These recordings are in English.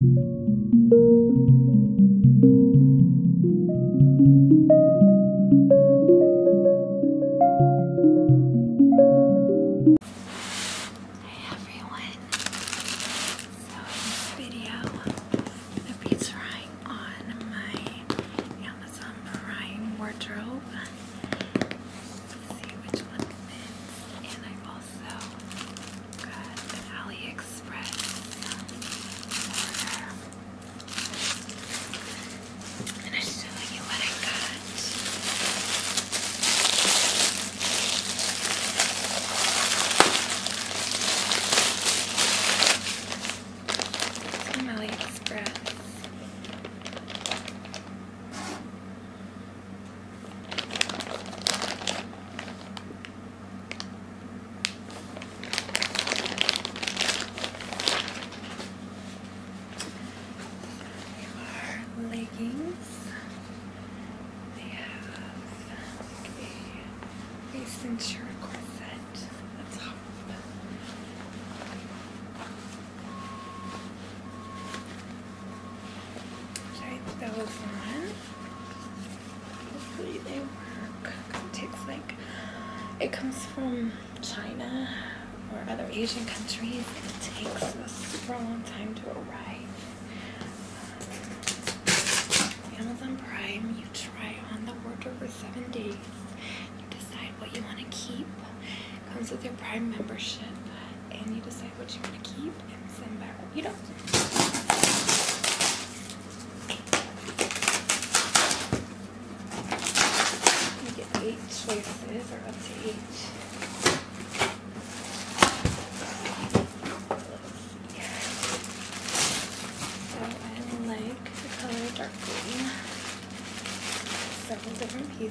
Hey everyone! So in this video, I'm gonna be trying on my Amazon Prime wardrobe. Let's see which one fits, and I also got AliExpress And I'm just you what I got. AliExpress. Here are leggings. They have a, a cincher corset at the top. Okay, those on. Hopefully they work. It takes like, it comes from China or other Asian countries. It takes a super long time to arrive. Um, Amazon Prime, you try on the wardrobe for seven days. You decide what you want to keep. It comes with your Prime membership and you decide what you want to keep you send back what you don't. You get eight choices, or up to eight. several different pieces.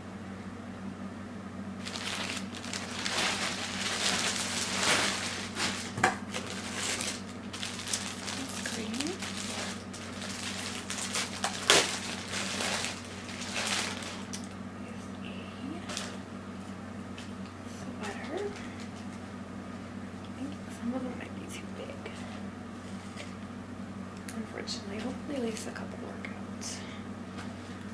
That's green. Here's a I think some of them might be too big. Unfortunately, hopefully at least a couple workouts.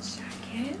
jacket.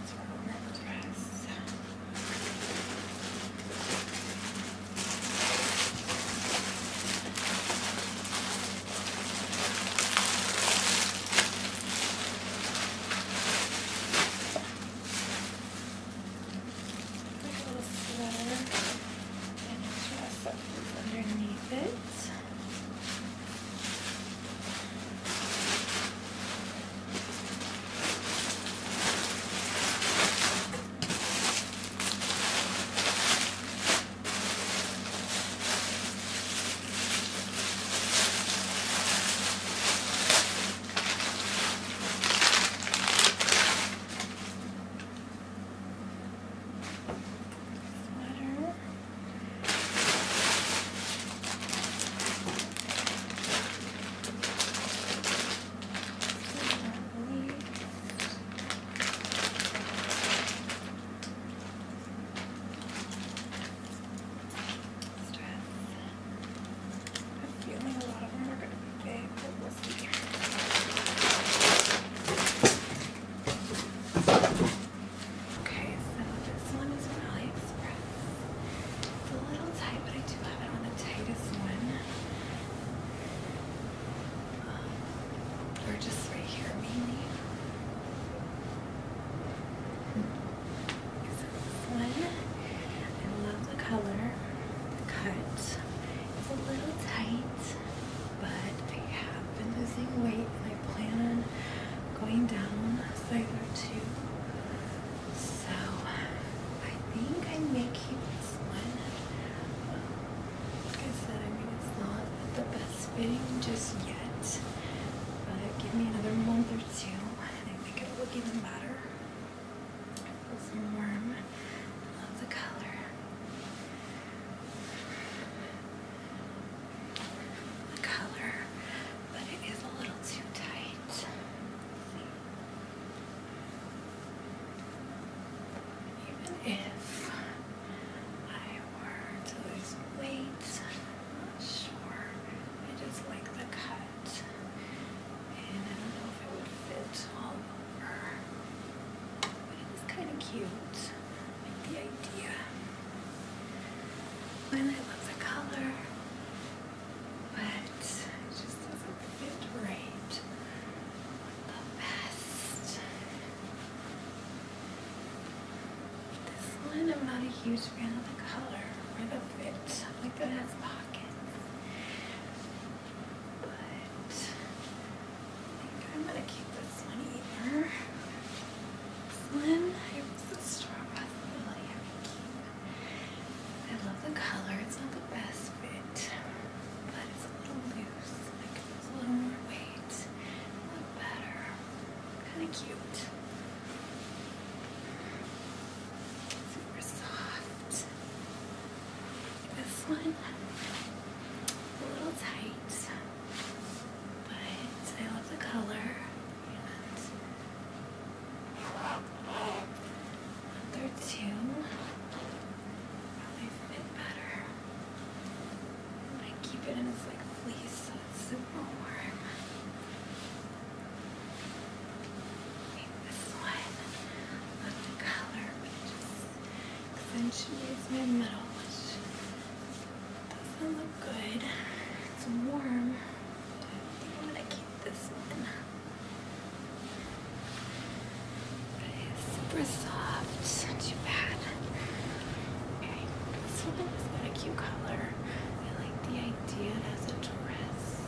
It's for a work dress. Like a little sweater and a dress what is underneath it sweater. Stress. I'm feeling a lot of them are going to be big, but Okay, so this one is from AliExpress. It's a little tight, but I do have it on the tightest one. Um, or just right here, mainly. So this one, I love the color. The cut is a little tight but I have been losing weight and I plan on going down a size or two. So I think I may keep this one. Um, like I said, I mean, it's not the best fitting just yet, but give me another month or two and I think it will look even better. It's warm. I love the color. color, but it is a little too tight. let Even if I were to lose weight, I'm not sure. I just like the cut and I don't know if it would fit all over, but it's kind of cute. I like the idea. And I love the color, but it just doesn't fit right. What the best? This one, I'm not a huge fan of the color or the fit. I like that it has pockets but I am gonna keep this one either. This one, I the straw really have to keep. I love the color. It's not the best fit, but it's a little loose. Like it's a little more weight, look better, kind of cute. Super soft. This one, a little tight, but I love the color and under two probably fit better. I keep it in its like fleece super warm this one of the color which just accentuates my middle, which doesn't look good. It's warm. I'm gonna keep this one. But it's super soft, not too bad. Okay, this one is got a cute color. I like the idea it has a dress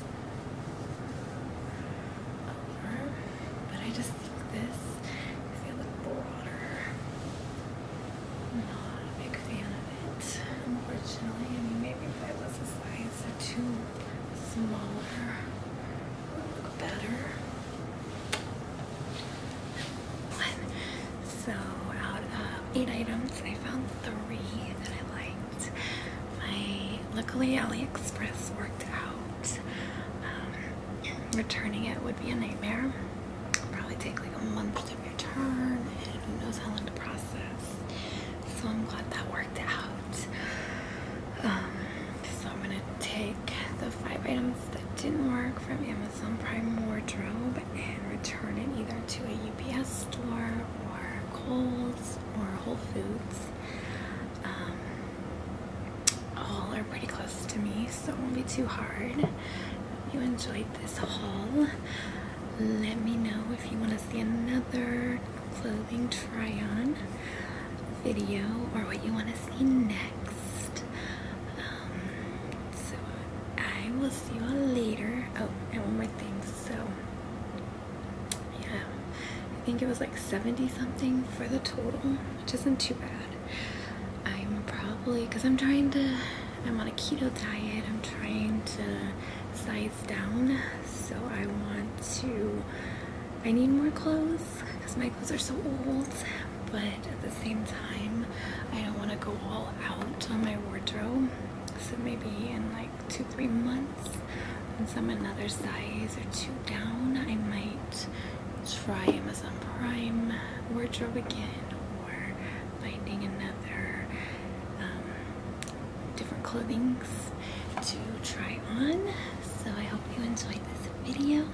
but I just think this is a little broader. I'm not a big fan of it, unfortunately. I mean, maybe if I was a size or two smaller, it would look better. So, out of eight items, I found three that I like luckily AliExpress worked out. Um, returning it would be a nightmare. probably take like a month to return, and who knows how long to process. So I'm glad that worked out. Um, so I'm gonna take the five items that didn't work from Amazon Prime Wardrobe and return it either to a UPS store or Kohl's or Whole Foods. Um, all are pretty close to me, so it won't be too hard. If you enjoyed this haul. Let me know if you want to see another clothing try on video or what you want to see next. Um, so I will see you all later. Oh, and one more thing. So yeah, I think it was like 70 something for the total, which isn't too bad. I'm probably, because I'm trying to, I'm on a keto diet, I'm trying to size down, so I want to, I need more clothes because my clothes are so old, but at the same time, I don't want to go all out on my wardrobe. So maybe in like two, three months. and some another size or two down, I might try Amazon Prime wardrobe again or finding another um, different clothings to try on. So I hope you enjoyed this video.